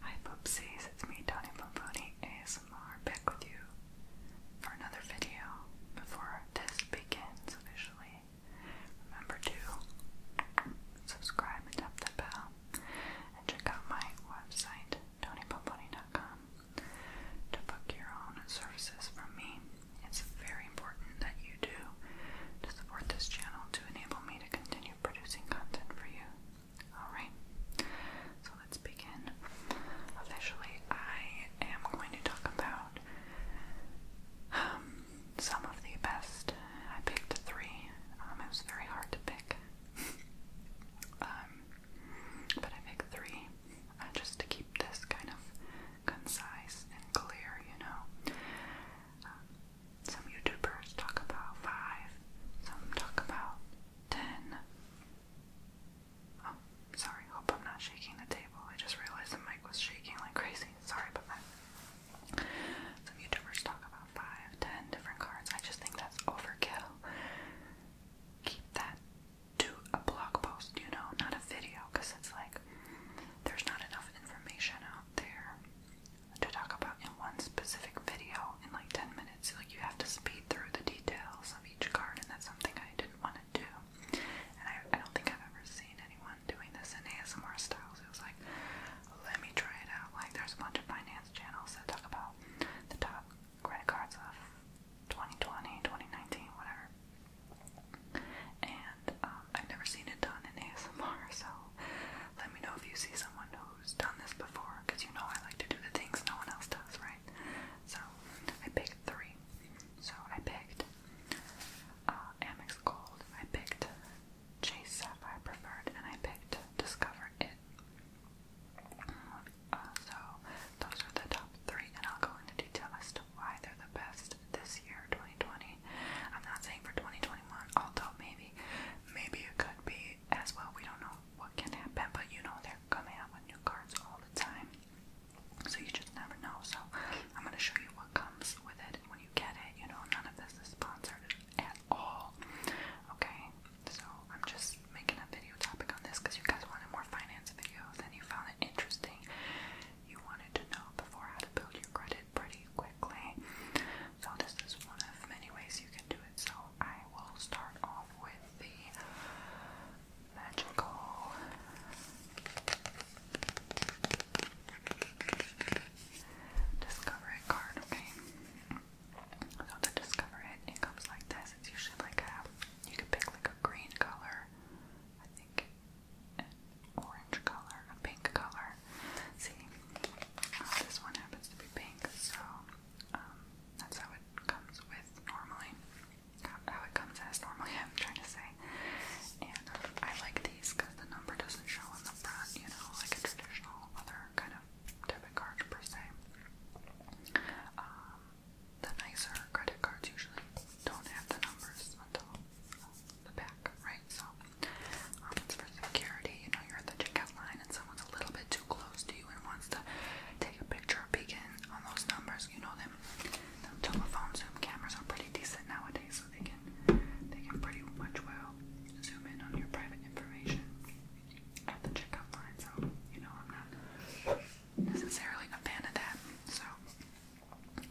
Hi Poopsies, it's me Tony Pomponi ASMR back with you for another video before this begins officially. Remember to subscribe and tap that bell and check out my website tonypomponi.com to book your own services from me. It's very important that you do to support this channel to enable me continue producing content for you. Alright, so let's begin. Officially, I am going to talk about um, some of the best. I picked three. Um, it was very hard to pick. Um, but I picked three uh, just to keep this kind of concise and clear, you know. Some YouTubers talk about five, some talk about ten. Oh, sorry, hope I'm not shaking the table. I just realized the mic was shaking like crazy. Sorry but Some YouTubers talk about five, ten different cards. I just think that's overkill. Keep that to a blog post, you know, not a video, because it's like there's not enough information out there to talk about in one specific video in like 10 minutes. Like, you have to speed through the details of each card, and that's something I didn't want to do. And I, I don't think I've ever seen anyone doing this in ASMR styles. It was like, let me try it out. Like, there's a bunch of finance channels that talk about the top credit cards of 2020, 2019, whatever. And um, I've never seen it done in ASMR, so let me know if you see someone who's done this before, because you know I like to do the things no one else does, right? So I picked three. So I picked uh, Amex Gold, I picked Chase Sapphire Preferred, and I picked Discover It. Uh, so those are the top three, and I'll go into detail as to why they're the best this year, 2020. I'm not saying for 2021, although maybe, maybe it could be as well. We don't know what can happen, but you know they're coming out with new cards all the time, so you just never know. So I'm gonna show you what comes with it when you get it. You know, none of this is sponsored at all. Okay, so I'm just making a video topic on this because you guys wanted more finance videos and you found it interesting you wanted to know before how to build your credit pretty quickly. So this is one of many ways you can do it. So I will start off with the magical Discover card, okay? So to discover it, it comes like this. It's usually like a you can pick like a green color. I think an orange color, a pink color. See, uh, this one happens to be pink, so um, that's how it comes with normally. How it comes as normally, I'm trying to say. And um, I like these because the number doesn't show on the front, you know, like a traditional other kind of debit card per se. Um, the nicer credit cards usually don't have the numbers until the back, right? So um, it's for security. You know, you're at the checkout line and someone's a little bit too close to you and wants to take a picture or peek in on those numbers. You know them. The telephone zoom cameras are pretty decent nowadays, so they can they can pretty much well zoom in on your private information at the checkout line. So you know, I'm not necessarily a fan of that. So.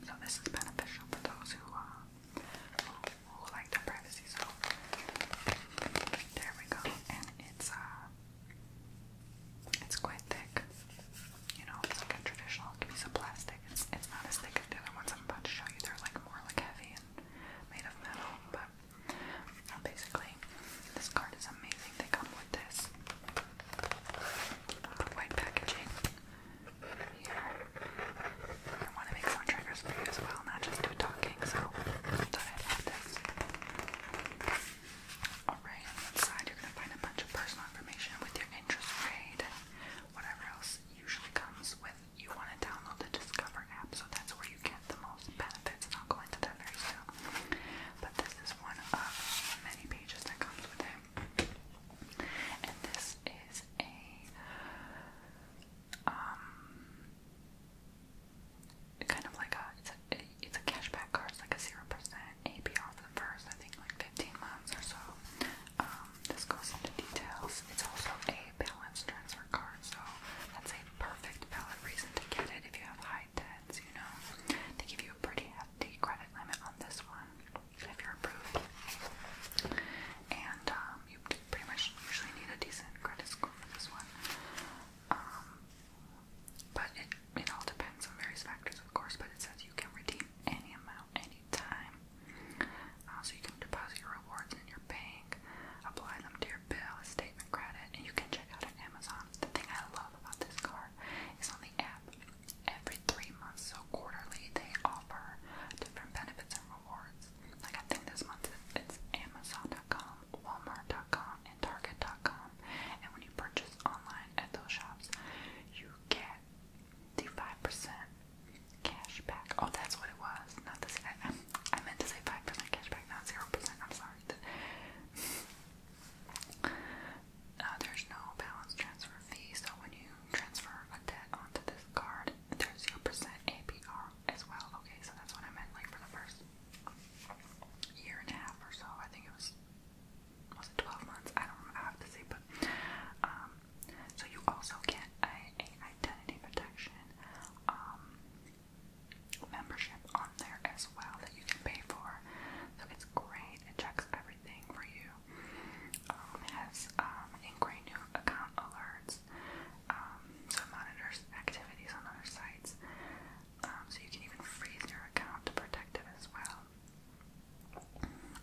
So this is beneficial for those who, uh, who, like their privacy. So there we go, and it's uh, it's quite thick. You know, it's like a traditional piece of plastic. It's it's not as thick as the other ones I'm about to show you. They're like more like heavy and made of metal, but um, basically this card is amazing. They come with this. white packaging here. I want to make more triggers for you as well, not just do talking, so I thought I'd add this. Alright, on the side you're going to find a bunch of personal information with your interest grade and whatever else usually comes with. You want to download the Discover app, so that's where you get the most benefits, and I'll go into that very soon. But this is one of many pages that comes with it. And this is a um kind of like a it's a it's a cashback card, it's like a zero percent APR for the first I think like fifteen months or so. Um, this goes into details. It's also a balance transfer card, so that's a perfect valid reason to get it if you have high debts, you know. They give you a pretty hefty credit limit on this one if you're approved. And um, you pretty much usually need a decent credit score for this one. Um, but it, it all depends on various factors, of course, but it says you can redeem any amount anytime. Uh, so you can deposit your rewards in your bank, apply them to your bill, a statement credit, and you can check out at Amazon. The thing I love about this card is on the app every three months, so quarterly, they offer different benefits and rewards. Like I think this month it's Amazon.com, Walmart.com, and Target.com. And when you purchase online at those shops, you get the 5% cash back. Oh, that's what it was. Not this. I, I meant to say 5% cash not 0%. I'm sorry uh, there's no balance transfer fee, so when you transfer a debt onto this card, there's 0% APR as well. Okay, so that's what I meant, like for the first year and a half or so. I think it was, was it 12 months? I don't I have to see, but, um, so you also get a, a identity protection, um, membership on there as well that you can pay for. So it's great. It checks everything for you. Um, it has um, inquiry new account alerts, um, so it monitors activities on other sites. Um, so you can even freeze your account to protect it as well.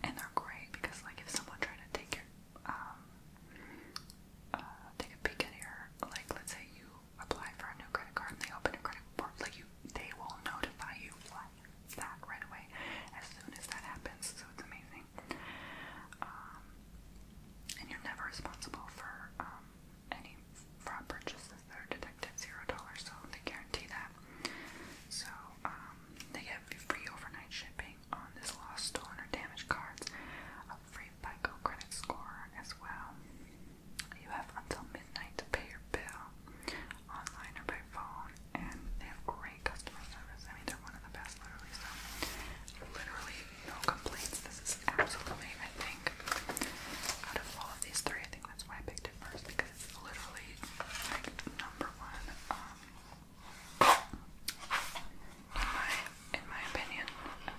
And they're great because, like, if someone tried to take your, um, uh, take a peek at your, like, let's say you apply for a new credit card and they open a credit report, like, you, they will notify you that right away as soon as that happens. So it's amazing. Um, and you're never responsible for um, any fraud purchases that are detected zero dollars, so they guarantee that. So um, they get free overnight shipping on this lost, stolen, or damaged cards, a free FICO credit score as well. You have until midnight to pay your bill online or by phone, and they have great customer service. I mean, they're one of the best, literally. So, literally, no complaints. This is absolutely, I think, out of all of these three, I think that's why I picked it first because it's literally like number one. Um, in my in my opinion,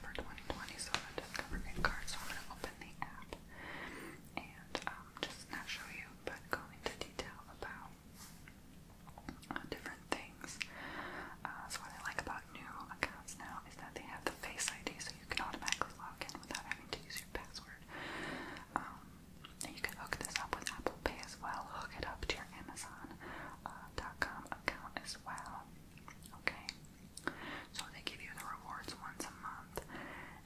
for 2020, Discover card. So I'm gonna open the app and um, just not show you but go into detail about uh, different things. Uh, so what I like about new accounts now is that they have the Face ID, so you can automatically log in without having to use your password. Um, and you can hook this up with Apple Pay as well. Hook it up to your Amazon.com uh, account as well. Okay. So they give you the rewards once a month month,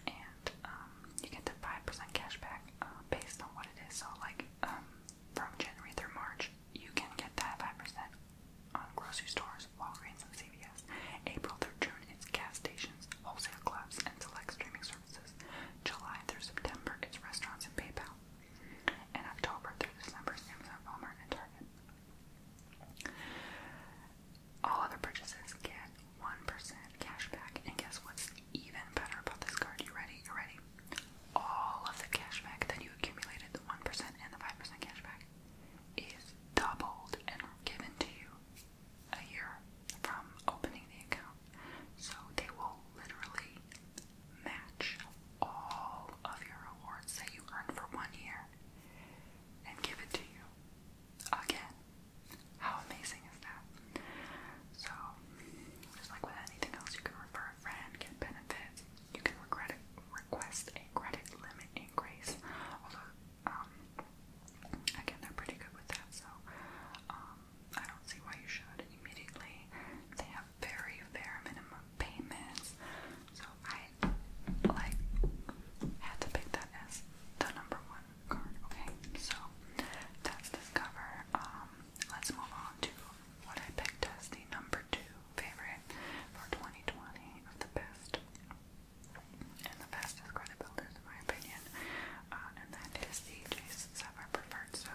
and um, you get the five percent cash back uh, based on what it is. So, like um, from January through March, you can get that five percent on grocery stores, Walgreens, and CVS. April through June, it's gas stations, wholesale clubs, and select streaming services. July through September, it's restaurants and PayPal. And October through December, Amazon, Walmart, and Target. All other purchases get 1% cash back. And guess what's even better about this card? You ready? You ready? All of the cash back that you accumulated, the 1% and the 5% cash back, is doubled and given to you a year from opening the account. So they will literally match all of your rewards that you earn for one year and give it to you again how amazing is that? So, just like with anything else, you can refer a friend, get benefits, you can regret it, request a credit limit increase. Although, um, again, they're pretty good with that, so um, I don't see why you should immediately. They have very bare minimum payments, so I like had to pick that as the number one card. Okay, so that's this cover. Um, let's move on to what I picked as the number two favorite for 2020 of the best and the fastest credit builders, in my opinion. Uh, and that is the Jason Sever Preferred. So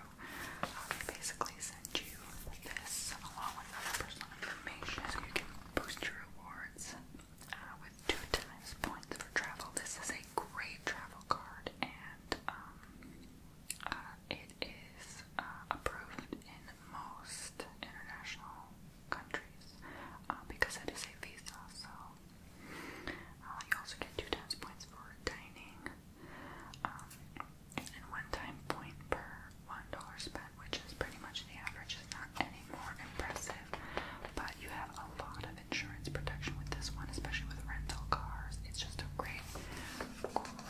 um, I basically send you this along with other personal information so you can boost your rewards uh, with two times points for travel. This is a great travel card, and um, uh, it is uh, approved in most international countries uh, because it is a visa. So uh, you also get two times points for dining, um, and one time point per one dollar spent, which is pretty much the average. It's not any any more impressive, but you have a lot of insurance protection with this one, especially with rental cars. It's just a great,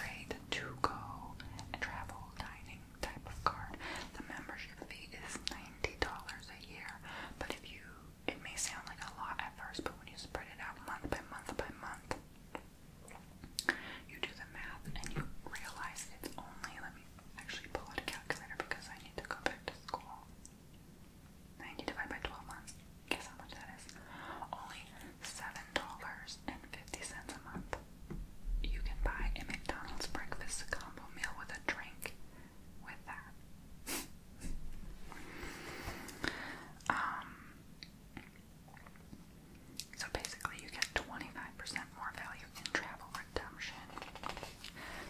great to go and travel dining type of card. The membership fee is $90 a year, but if you, it may sound like a lot at first, but when you spread it out month by month by month, you do the math and you realize it's only, let me actually pull out a calculator because I need to go back to school. 90 divided by 12 months. Guess how much that is? Only $7.50 a month. You can buy a McDonald's breakfast combo meal with a drink with that. Um, so basically, you get 25% more value in travel redemption.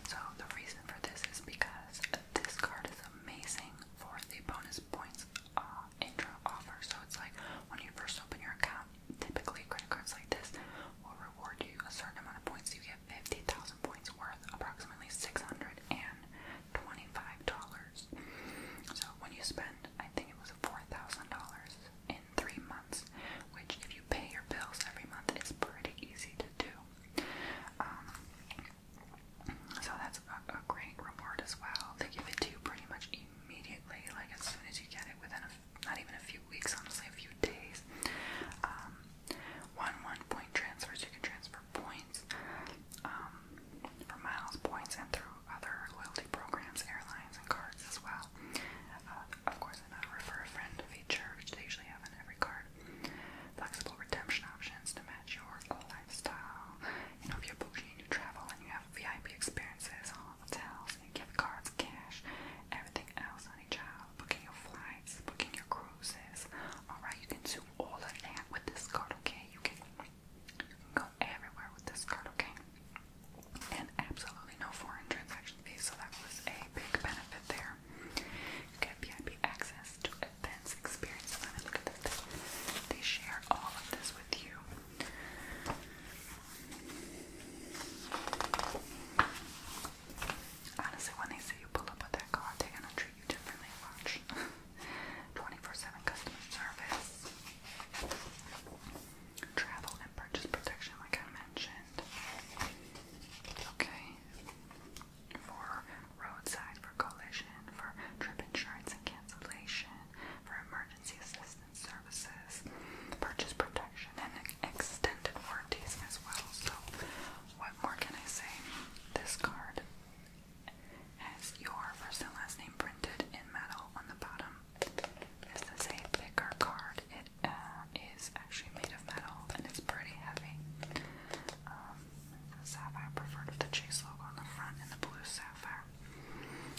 So the reason for this is because this card is amazing for the bonus points uh, intro offer. So it's like when you first open your account, typically credit cards like this will reward you a certain amount of points. You get 50,000 points worth, approximately $625. So when you spend, I think it was $4,000 in three months, which if you pay your bills every month, it's pretty easy to do. Um, so that's a, a great reward as well. They give it to you pretty much immediately, like as soon as you get it, within a, not even a few weeks, honestly, a few days. Um, one one point transfers, you can transfer points um, for miles, points, and through other loyalty programs, airlines, and cards as well. Uh, of course, in a refer a friend feature, which they usually have in every card. Flexible redemption options to match your lifestyle. You know, if you're and you travel and you have VIP experiences, hotels, gift cards, cash, everything else, honey child, booking your flights, booking your cruises. Alright, you can do all of that with this card, okay? You can, go everywhere with this card, okay? And absolutely no foreign transaction actually, so that was a big benefit there. You VIP access to events, experiences. I look at this. They share all of this with you. Honestly, when they say you pull up with that car, they're gonna treat you differently. Watch 24/7 customer service, travel and purchase protection, like I mentioned. Okay. For roadside, for collision, for trip insurance and cancellation, for emergency assistance services, purchase protection, and extended warranties as well. So, what more can I say? This card has your first and last name printed in metal on the bottom. This is a thicker card. It it uh, is actually made of metal and it's pretty heavy. Um, the sapphire preferred with the chase logo on the front and the blue sapphire.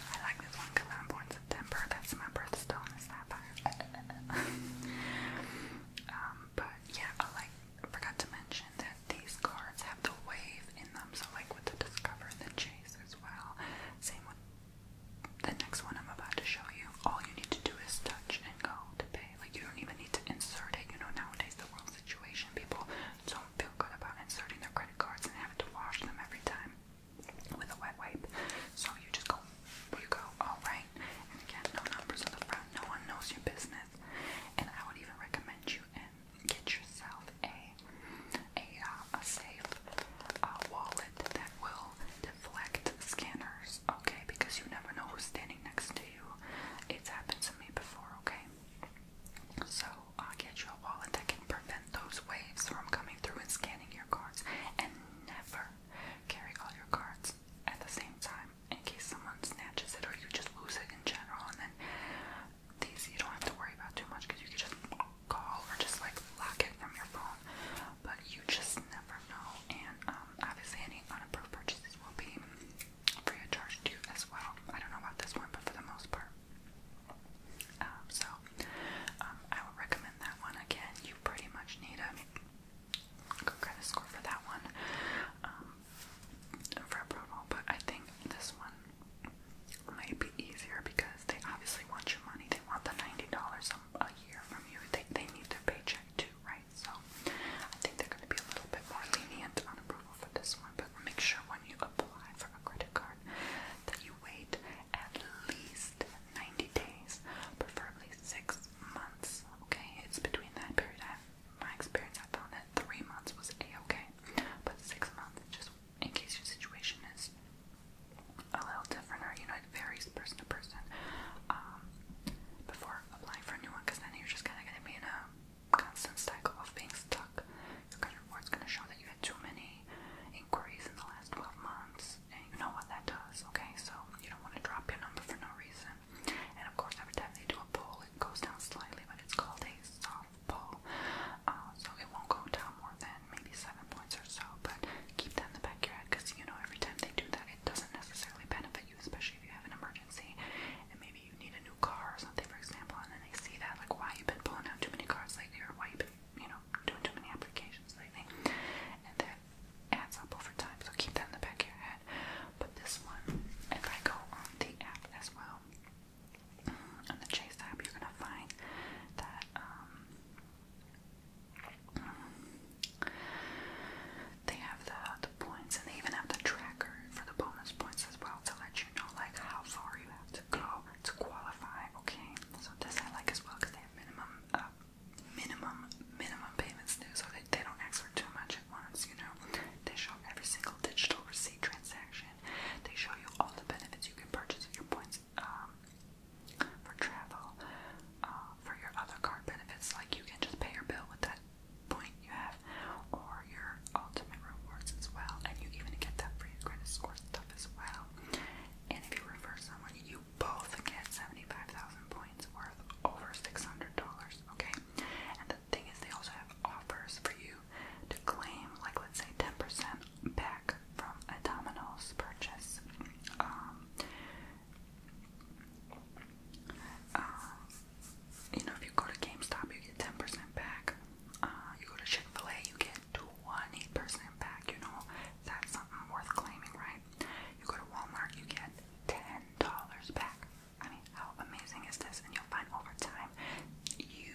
I like this one because I'm born September. That's my birthstone is sapphire. um, but yeah, I like. I forgot to mention that these cards have the wave in them, so like with the discover and the chase as well. Same with the next one I'm about to show you, all you need to do is touch and go to pay. Like, you don't even need to insert it. You know, nowadays, the world situation, people don't feel good about inserting their credit cards and having to wash them every time with a wet wipe. So, you just go, you go, alright. And again, no numbers on the front, no one knows your business. And I would even recommend you and get yourself a a, uh, a safe uh, wallet that will deflect scanners, okay? Because you never know who's standing next to you. It's happened to me before, okay? So I'll get you a wallet that can prevent those waves from coming through and scanning your cards. And never carry all your cards at the same time in case someone snatches it or you just lose it in general. And then these you don't have to worry about too much because you can just call or just like lock it from your phone wrong, but you just never know. And um, obviously, any unapproved purchases will be free of charge to you as well. I don't know about this one, but for the most part. Um, so, um, I would recommend that one again. You pretty much need a good credit score for that one um, for approval, but I think this one might be easier because they obviously want your money. They want the $90, so some a year from you. They, they need their paycheck too, right? So I think they're going to be a little bit more lenient on approval for this one. But make sure when you apply for a credit card that you wait at least 90 days, preferably six months. Okay, it's between that period. I, my experience, I found that three months was a okay, but six months just in case your situation is a little different, or you know, it varies person to person. Um, before applying for a new one, because then you're just kind of going to be in a constant cycle of being stuck. Your credit report's going to show that you had too many inquiries in the last 12 months, and you know what that does, okay? So you don't want to drop your number for no reason. And of course, every time they do a poll, it goes down slightly, but it's called a soft poll, uh, so it won't go down more than maybe seven points or so, but keep that in the back of your head because you know every time they do that, it doesn't necessarily benefit you, especially if you have an emergency and maybe you need a new car or something, for example, and then they see that, like, why you've been pulling out too many cars lately or why you've been, you know, doing too many applications lately, and that adds up over time, so keep that in the back of your head. But this one, if I go on the app as well, on the Chase app, you're gonna find that um, they have the, the points, and they even have the tracker for the bonus points as well to let you know like how far you have to go to qualify. Okay, so this I like as well because they have minimum, uh, minimum, minimum payments too, so they, they don't ask for too much at once. You know, they show every single digital receipt transaction. They show you all the benefits you can purchase with your points benefits um, for travel. Uh, for your other card benefits, like you can just pay your bill with that point you have, or your ultimate rewards as well, and you even get that for your credit score stuff as well. And if you refer someone, you both get 75,000 points worth over $600, okay? And the thing is, they also have offers for you to claim, like let's say 10% back from a Domino's purchase. Um, uh, you know, if you go to GameStop, you get 10% back. Uh, you go to Chick fil A, you get 20% back. You know, that's something worth claiming, right? You go to Walmart, you get $10 back. I mean, how amazing is this? And you'll find over time you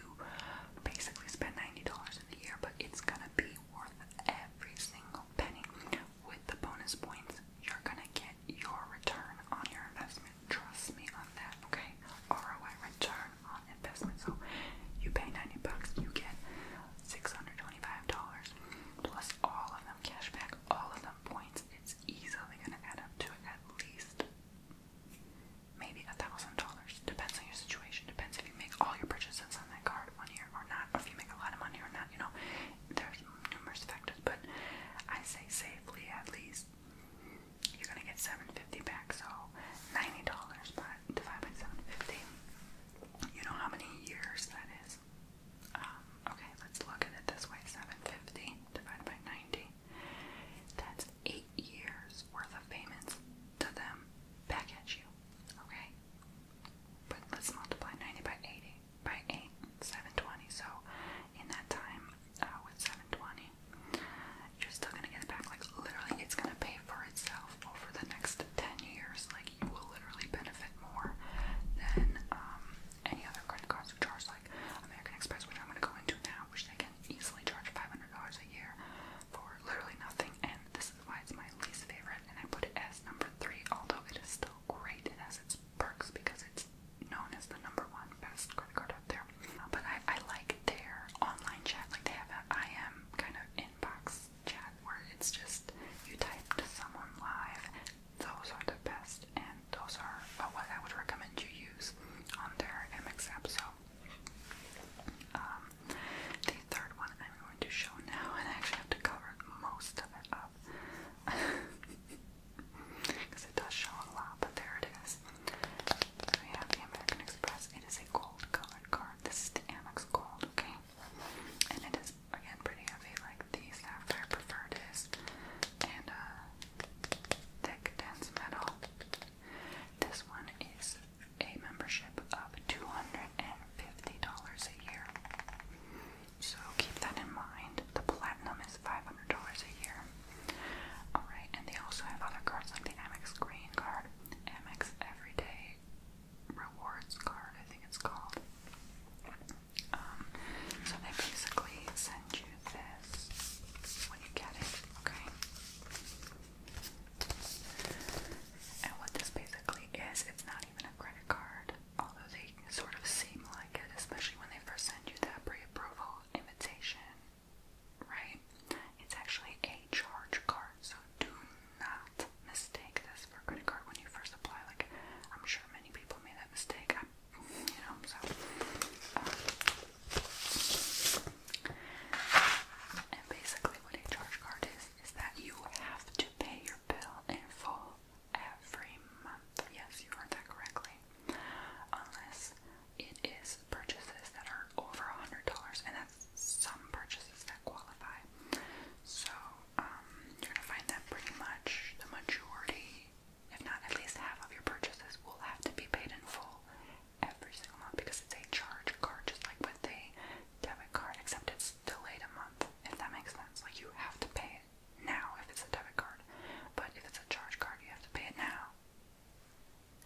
basically spend $90 in a year, but it's gonna be worth every single penny. With the bonus points, you're gonna get your return on your investment. Trust me on that, okay? ROI return on investment. So you pay 90 bucks, you get $625 plus all of them cash back, all of them points. It's easily gonna add up to at least maybe a thousand dollars dollars. Depends on your situation. Depends if you make all your purchases on that card one year or not, if you make a lot of money or not. You know, there's numerous factors, but I say safely at least you're gonna get seven fifty back, so ninety dollars by divided by seven fifty. You know how many years that is. Um, okay, let's look at it this way: seven fifty divided by ninety. That's eight years worth of payments to them back at you. Okay, but let's multiply 90 by 80 by 8, 720. So in that time, uh, with 720, you're still gonna get back. Like literally, it's gonna pay for itself over the next 10 years. Like you will literally benefit more than um, any other credit cards who charge like American Express, which I'm gonna go into now, which they can easily charge $500 a year for literally nothing, and this is why it's my least favorite, and I put it as number three, although it is still great. It has its perks because it's known as the number one best credit card out there. Uh, but I, I like their online chat, like they have that IM kind of inbox chat where it's just you type to someone live. Those are the best, and those are uh, what I would recommend you use on their MX app. So, um, the third one I'm going to show now, and I actually have to cover most of it up because it does show a lot, but there it is. We have the American Express. It is a gold colored card. This is the Amex Gold, okay? And it is again pretty heavy, like the Sapphire Preferred is, and uh, thick, dense metal. This one is a membership of $250 a year. So keep that in mind. The platinum is $500 a year. Alright, and they also have other cards like the Amex Green card, Amex Everyday Rewards card, I think it's called. Um, so they basically send you this when you get it, okay? And what this basically is, it's not even a credit card, although they sort of seem like it, especially when they first send you that pre approval invitation, right? It's actually a charge card, so do not mistake this for a credit card when you first apply. Like, I'm sure many people made that mistake, I, you know, so. Um, and basically, what a charge card is that you have to pay your bill in full every month. Yes, you heard that correctly. Unless it is purchases that are over a hundred dollars, and that's some purchases that qualify. So um, you're gonna find that pretty much the majority, if not at least half of your purchases, will have to be paid in full every single month because it's a charge card, just like with a debit card, except it's delayed a month, if that makes sense. Like, you have to pay it now if it's a debit card, but if it's a charge card, you have to pay it now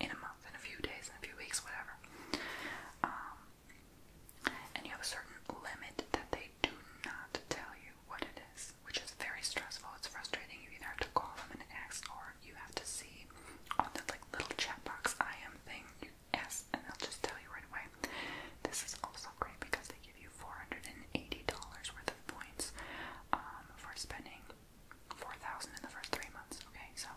in a month, in a few days, in a few weeks, whatever. Um, and you have a certain limit that they do not tell you what it is, which is very stressful. It's frustrating. You either have to call them and ask, or you have to see on the like little chat box I am thing. Yes, and I'll just tell you right away. This is also great because they give you $480 worth of points um, for spending 4000 in the first three months. Okay, so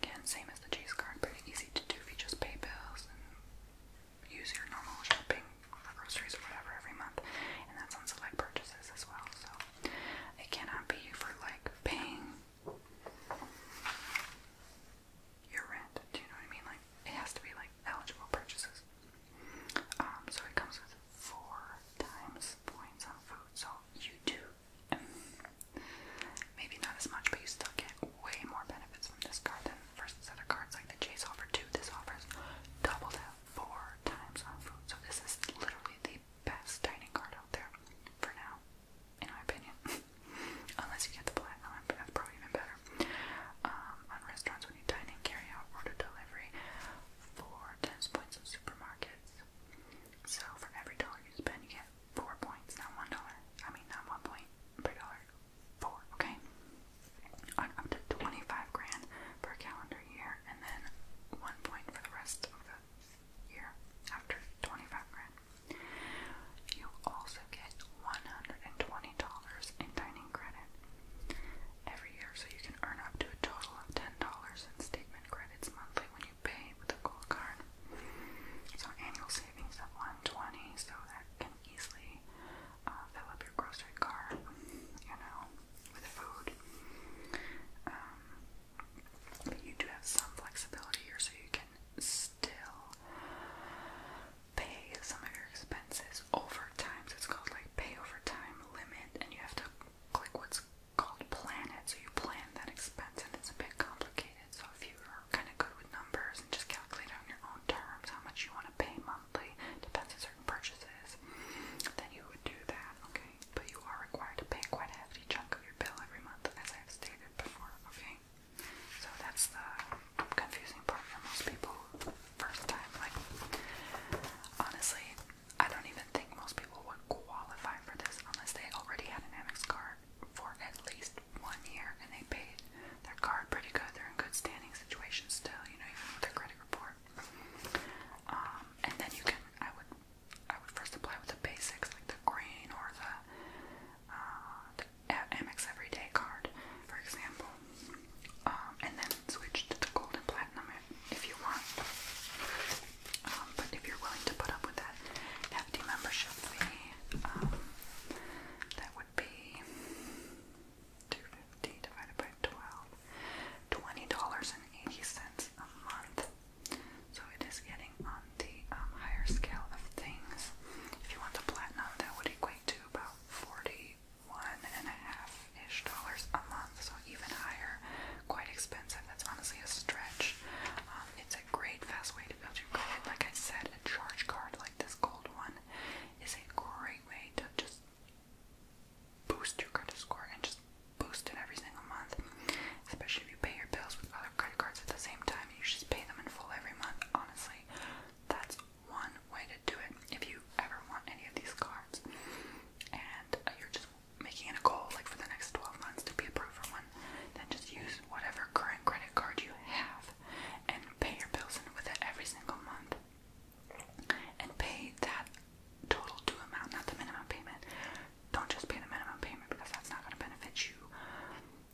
again, same as the Chase card, pretty easy to do if you just pay bills and use your normal shopping for groceries or whatever every month. And that's on select purchases as well. So it cannot be for like paying your rent. Do you know what I mean? Like it has to be like eligible purchases. Um, so it comes with four times points on food. So you do um, maybe not as much, but you still get way more benefits from this card than the first set of cards like the Chase offer two. This offers double that four times on food. So this is literally the best dining card out there for now in my opinion. Unless you get the platinum, that's probably even better. Um, on restaurants, when you dine in, carry out, order delivery for times points of supermarkets. So for every dollar you spend, you get four points, not one dollar. I mean, not one point per dollar, four, okay? On up to 25 grand per calendar year, and then one point for the rest of the year after 25 grand. You also get $120 in dining credit every year, so you can earn up to a total of $10 in statement credits monthly when you pay with a gold card. So annual savings of 120 so that can easily uh, fill up your grocery cart, you know, with food. Um, but you do have some flexibility here, so you can still pay some of your expenses over time. So it's called like pay over time limit, and you have to click what's called plan it. So you plan that expense, and it's a bit complicated. So if you are kind of good with numbers and just calculate on your own terms how much you want to pay monthly, depends on certain purchases, then you would do that, okay? But you are required to pay quite a hefty chunk of your bill every month, as I've stated before, okay? So that's the confusing part for most people first time. Like, honestly, I don't even think most people would qualify for this unless they already had an Amex card for at least one year and they paid their card pretty good. They're in good standing situations still, you know, even with their credit report. Um, and then you can, I would I would first apply with the basics like the green or the, uh, MX Everyday card, for example, um, and then switch to the gold and platinum if you want. Um, but if you're willing to put up with that hefty membership fee, um, that would be two fifty divided by twelve, twenty dollars and eighty cents a month. So it is getting on the um, higher scale of things. If you want the platinum, that would equate to about forty-one and a half ish dollars a month, so even higher. Quite expensive. That's honestly a stretch. Um, it's a great fast way to build your credit. Like I said, a charge card like this gold one is a great way to just boost your credit score and just boosted every single month, especially if you pay your bills with other credit cards at the same time. You should pay them in full every month. Honestly, that's one way to do it. If you ever want any of these cards, and uh, you're just making it a goal, like for the next 12 months, to be approved for one, then just use whatever current credit card you have and pay your bills in with it every single month. And pay that total due amount, not the minimum payment. Don't just pay the minimum payment because that's not going to benefit you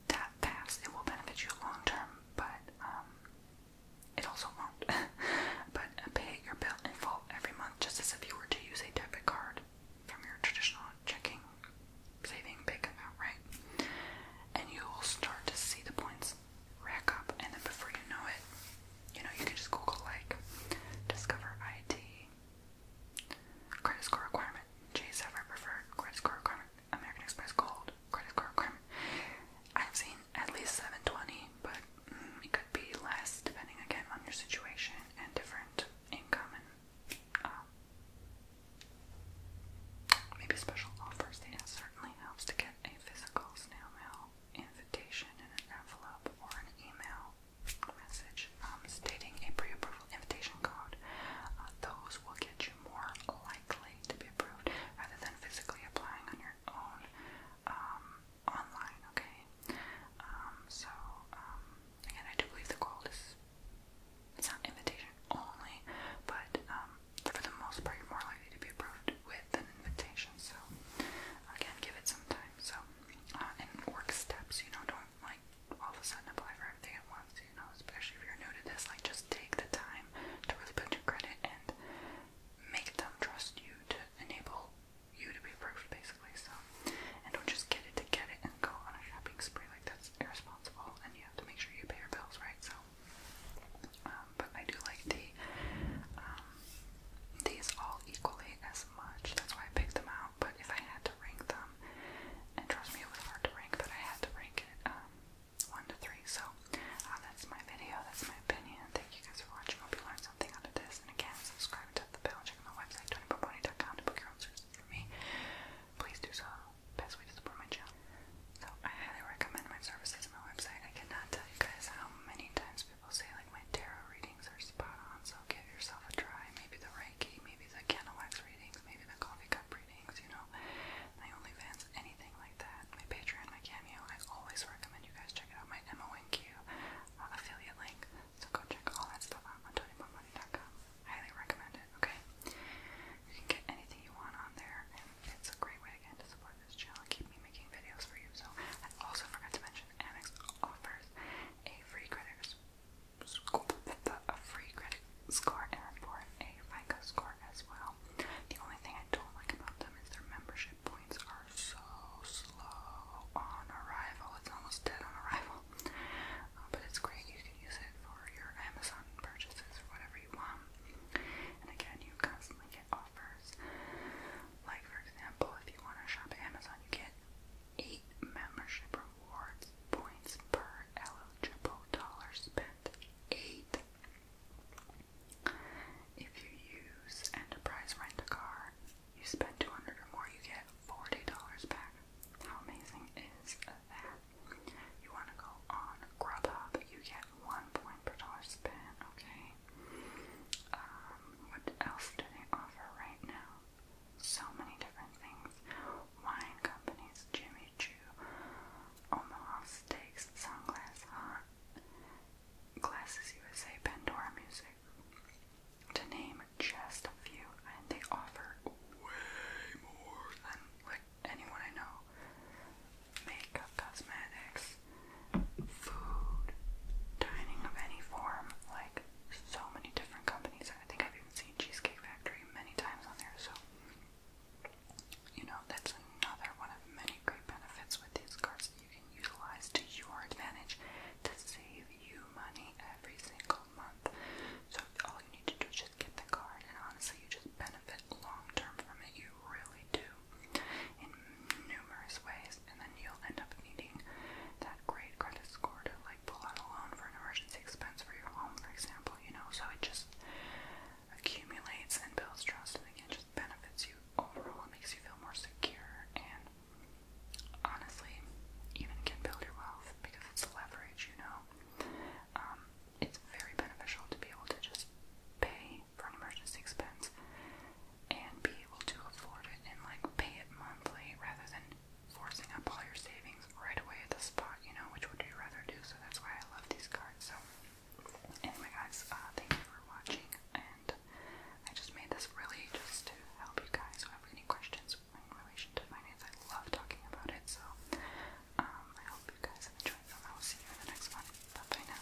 that fast. It will benefit you long term, but um, it also won't. but pay your bill in full every month, just as if you were to use a debit card from your traditional checking, saving, bank account, right? And you will start to see the points rack up, and then before you know it, you know you can just Google like Discover ID Credit score requirement. Chase ever preferred. Credit score requirement. American Express Gold. Credit score requirement. I've seen at least 720, but mm, it could be less depending again on your situation and different income and um, maybe special offers. It certainly helps to get a physical snail mail invitation in an envelope or an email message um, stating a pre-approval invitation code. Uh, those will get you more likely to be approved rather than physically applying on your own um, online, okay? Um, so, again, I do believe the goal is it's not invitation only, but for the most part, you're more likely to be approved with an invitation. So, again, give it some time. So, uh, and work steps, you know, don't like all of a sudden apply for everything at once, you know, especially if you're new to this, like just take the time to really put your credit and make them trust you to enable you to be approved basically, so and don't just get it to get it and go on a shopping spree, like that's irresponsible and you have to make sure you pay your bills, right? So um, but I do like the um these all equally as that's why I picked them out. But if I had to rank them, and trust me, it was hard to rank, but I had to rank it um, one to three. So uh, that's my video. That's my opinion. Thank you guys for watching. Hope you learned something out of this. And again, subscribe tap the bell. Check my website, tonypoponi.com to book your own services for me. Please do so. Best way to support my channel. So I highly recommend my services on my website. I cannot tell you guys how many times people say like my tarot readings are spot on, so give yourself a try. Maybe the Reiki, maybe the candle wax readings, maybe the coffee cup readings, you know. My OnlyFans, anything like that. My Patreon, my Cameo, I always recommend you guys check it out. My MONQ uh, affiliate link. So go check all that stuff out on TonyBoneMoney.com. Highly recommend it, okay? You can get anything you want on there, and it's a great way again to support this channel and keep me making videos for you. So I also forgot to mention Annex offers a free credit score, and for a FICO score as well. The only thing I don't like about them is their membership points are so slow on arrival. It's almost dead on arrival. Uh, but it's great. You can use it for your Amazon purchases or whatever you want. And again, you constantly get like, for example, if you want to shop Amazon, you get 8 membership rewards points per eligible dollar spent. 8. If you use Enterprise Rent a Car, you spend 200 or more, you get $40 back. How amazing is that? You want to go on Grubhub, you get 1 point per dollar spent, okay? Um, what else do they offer right now? So many different things. Wine companies, Jimmy Choo, Omaha Steaks, Sunglass Hot, Glasses USA, Pandora Music, to name just a few. And they offer way more than like anyone I know. Makeup, cosmetics, food, dining of any form, like so many different companies. I think I've even seen Cheesecake Factory many times on there, so you know, that's another one of many great benefits with these cards that you can utilize to your advantage to save you money every single month. So all you need to do is just get the card and honestly you just benefit long term from it. You really do in numerous ways, and then you'll end up needing that great credit score to like pull out a loan for an emergency expense for your home, for example, you know, so it just accumulates and builds trust and again just benefits you overall and makes you feel more secure and honestly even can build your wealth because it's leverage, you know. Um, it's very beneficial to be able to just pay money for an emergency expense and be able to afford it and like pay it monthly rather than forcing up all your savings right away at the spot, you know, which would you rather do? So that's why I love these cards. So anyway guys, uh thank you for watching and I just made this really just to help you guys who have any questions in relation to finance. I love talking about it. So um I hope you guys have enjoyed them. I will see you in the next one. Bye bye now.